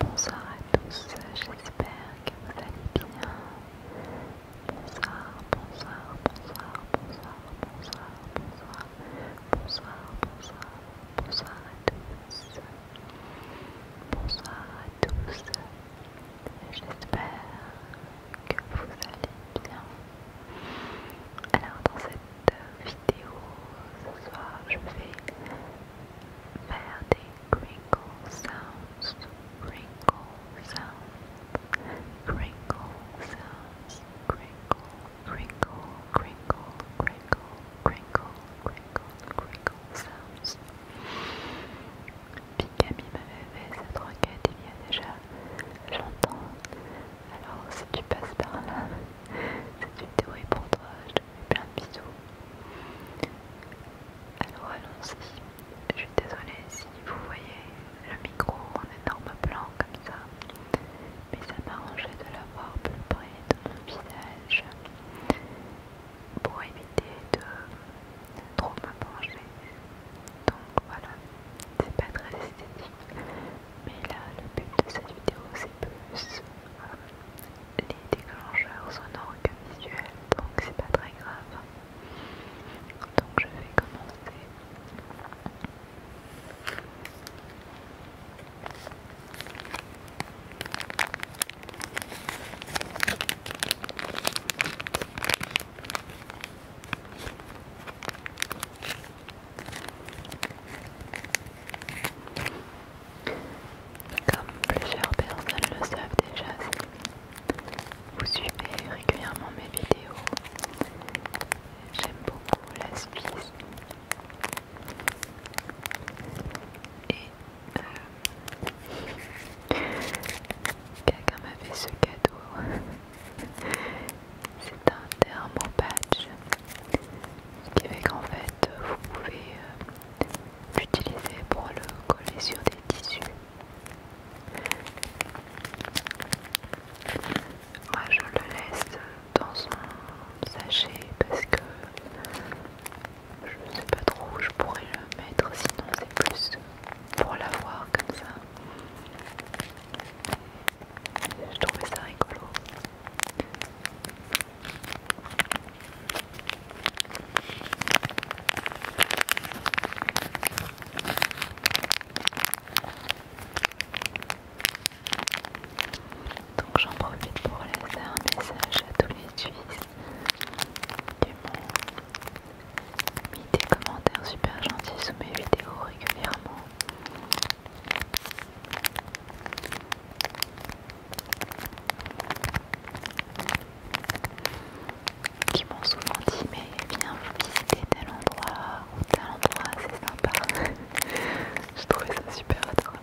Bonsoir à tous, j'espère que vous allez bien. Bonsoir, bonsoir, bonsoir, bonsoir, bonsoir, bonsoir, bonsoir, bonsoir, bonsoir à tous. Bonsoir à tous, j'espère que vous allez bien. Alors dans cette vidéo ce soir je vais faire des crinkle sounds, crinkle sounds, crinkle sounds, crinkle, crinkle, crinkle, crinkle, crinkle, crinkle, crinkle sounds. Picami m'avait fait cette requête il y a déjà J'entends. Alors si tu passes par là, c'est une théorie pour toi. Je te fais plein de bisous. Alors allons-y. Je suis désolée si vous voyez le micro en énorme blanc comme ça. Mais ça m'arrangeait de l'avoir plus près dans mon visage pour éviter de trop m'approcher. Donc voilà, c'est pas très esthétique, mais là le but de cette vidéo c'est plus euh, les déclencheurs sonores que visuel. donc c'est pas très grave. Donc je vais commencer. Comme plusieurs personnes le savent déjà, vous suivez régulièrement mes vidéos. J'aime beaucoup la Swiss Et euh, quelqu'un m'a fait ce cadeau. C'est un thermopatch qui fait qu'en fait vous pouvez euh, l'utiliser pour le coller sur des tissus. Moi je le laisse dans son sachet parce que je ne sais pas trop où je pourrais le mettre sinon c'est plus pour l'avoir comme ça. Je trouvais ça rigolo. Donc j'en profite pour laisser un message à tous les Suisses du monde mis des commentaires super gentils sous mes vidéos régulièrement. Qui m'ont souvent dit, mais viens visiter tel endroit ou tel endroit, c'est sympa. Je trouvais ça super adorable.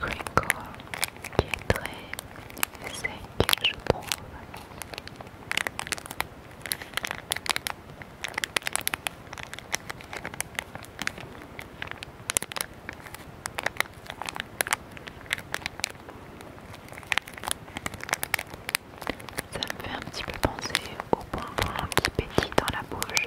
Record qui est très sec, je trouve. Ça me fait un petit peu penser au bonbon qui pétille dans la bouche.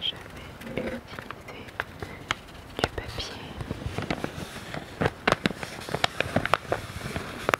Je mets de côté et je vais utiliser du papier.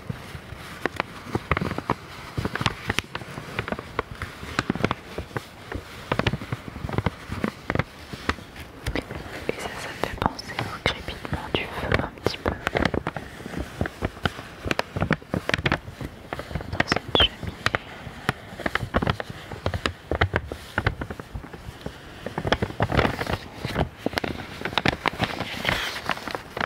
Et ça, ça fait penser au crépitement du feu un petit peu dans cette cheminée.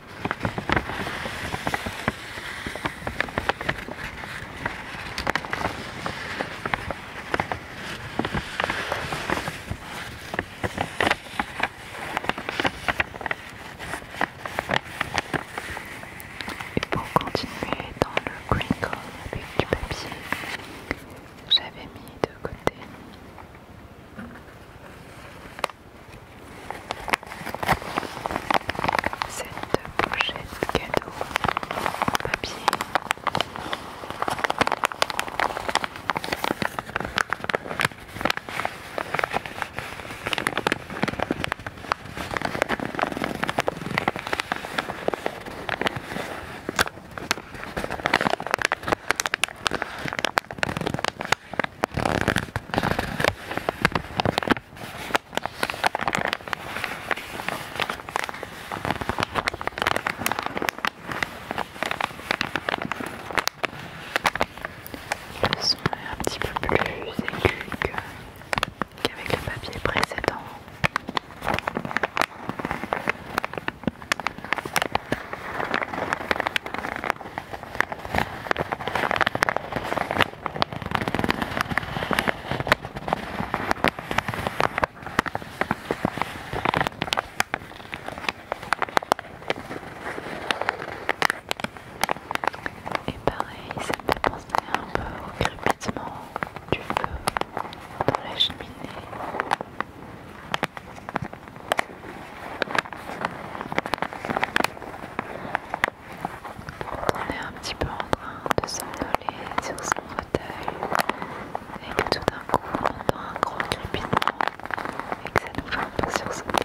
Et pour continuer dans le crinkle avec du papier, j'avais mis de côté cette pochette cadeau papier. Le son un petit peu plus que qu'avec le papier précédent. Et pareil, ça me fait penser un peu au crépitement du feu dans la cheminée. On est un petit peu en train de s'envoler sur son fauteuil et tout d'un coup on entend un gros crépitement et que ça nous fait un peu sur son pied.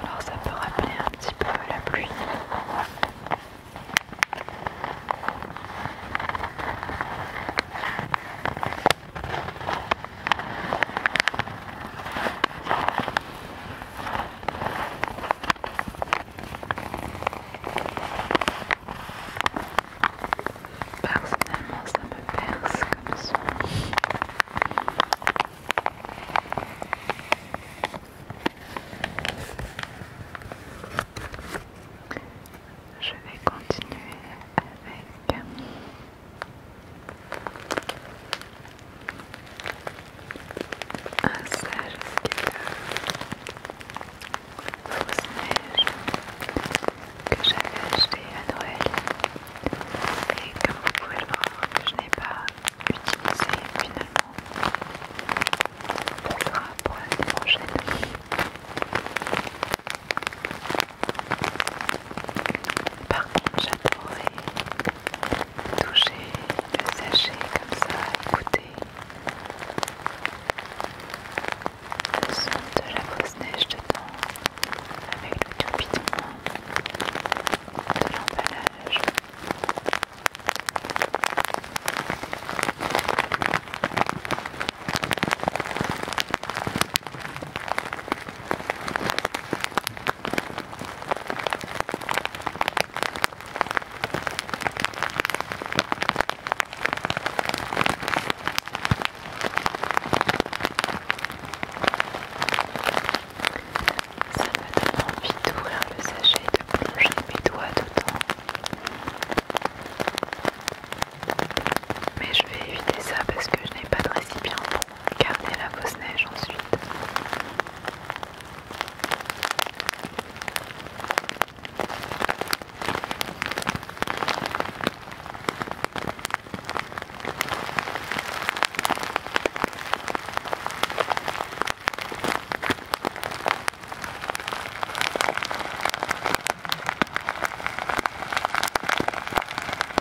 Alors ça peut rappeler un petit peu la pluie. Personnellement, ça me perce comme ça. Je vais continuer avec un sage fausse neige que j'avais acheté à Noël et comme vous pouvez le voir que je n'ai pas utilisé finalement pour sera pour l'année prochaine par contre j'adorais toucher le sachet comme ça, écouter le son de la grosse neige dedans avec le tourbillon de l'emballage. Ça me donne envie d'ouvrir le sachet et de plonger mes doigts dedans. Mais je vais éviter ça parce que je n'ai pas de récipient Gardez la fausse neige ensuite.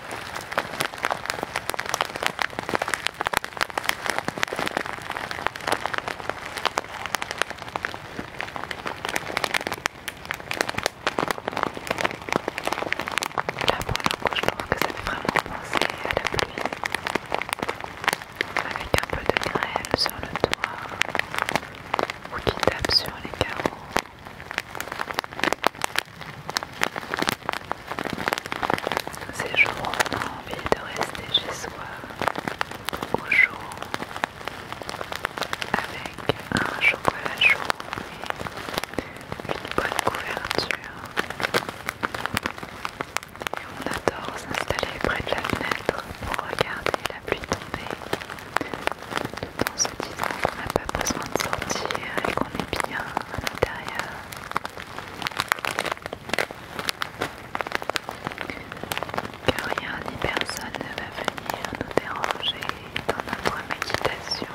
La pour je trouve que ça fait vraiment penser à la pluie avec un peu de grêle sur le toit ou qui tape sur les carreaux. Ces jours on a envie de rester chez soi, au chaud, avec un chocolat chaud et une bonne couverture. Et on adore s'installer près de la fenêtre pour regarder la pluie tomber quotidien, on n'a pas besoin de sortir et qu'on est bien à l'intérieur. Que rien ni personne ne va venir nous déranger dans notre méditation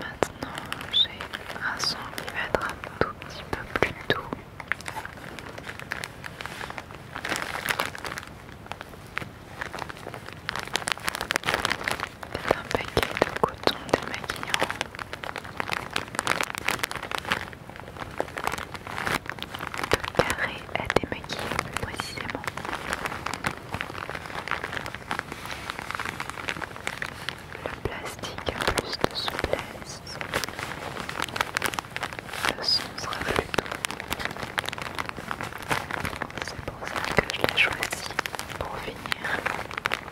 maintenant, j'ai un son qui va être un tout petit peu plus doux. un paquet de coton démaquillant le carré à démaquiller plus précisément. Le plastique a plus de souplesse. Le son sera plus C'est pour ça que je l'ai choisi pour finir.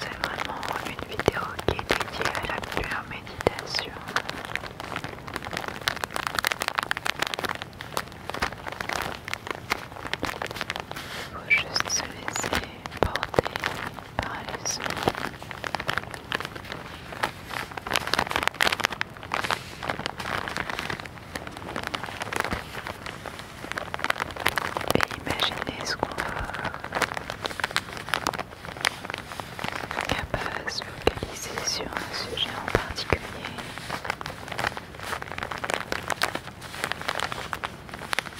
C'est vraiment une vidéo qui est dédiée à la pure méditation. Il faut juste se laisser porter par les sons. Et imaginez ce qu'on va capable de se focaliser sur un sujet en particulier.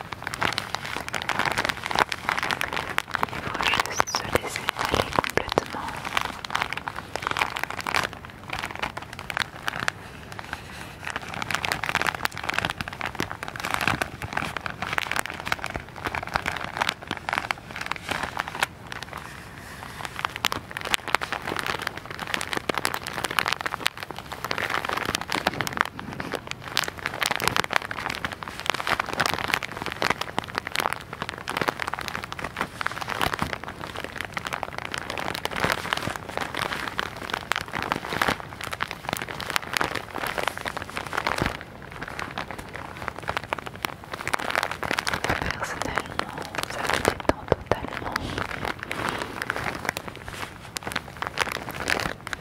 Il faut juste se laisser aller complètement. Personnellement, ça me détend totalement.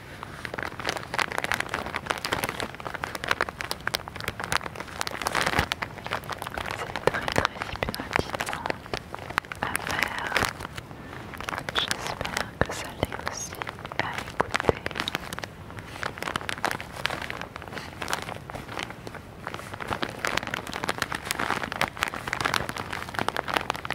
C'est très très hypnotisant à faire. J'espère que ça l'est aussi à écouter.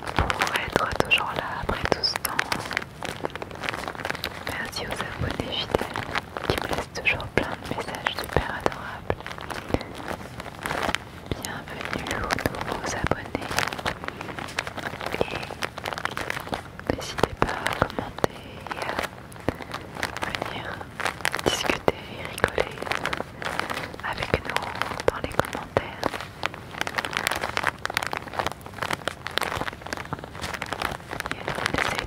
pour être toujours là après tout ce temps. Merci aux abonnés fidèles qui me laissent toujours plein de messages super adorables. Bienvenue aux nouveaux abonnés. Et n'hésitez pas à commenter et à venir discuter et rigoler avec nous dans les commentaires. J'essaie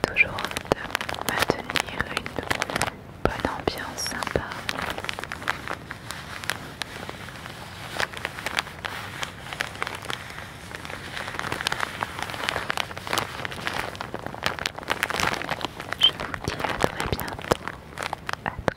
toujours de maintenir une bonne ambiance sympa. Je vous dis à très bientôt. À très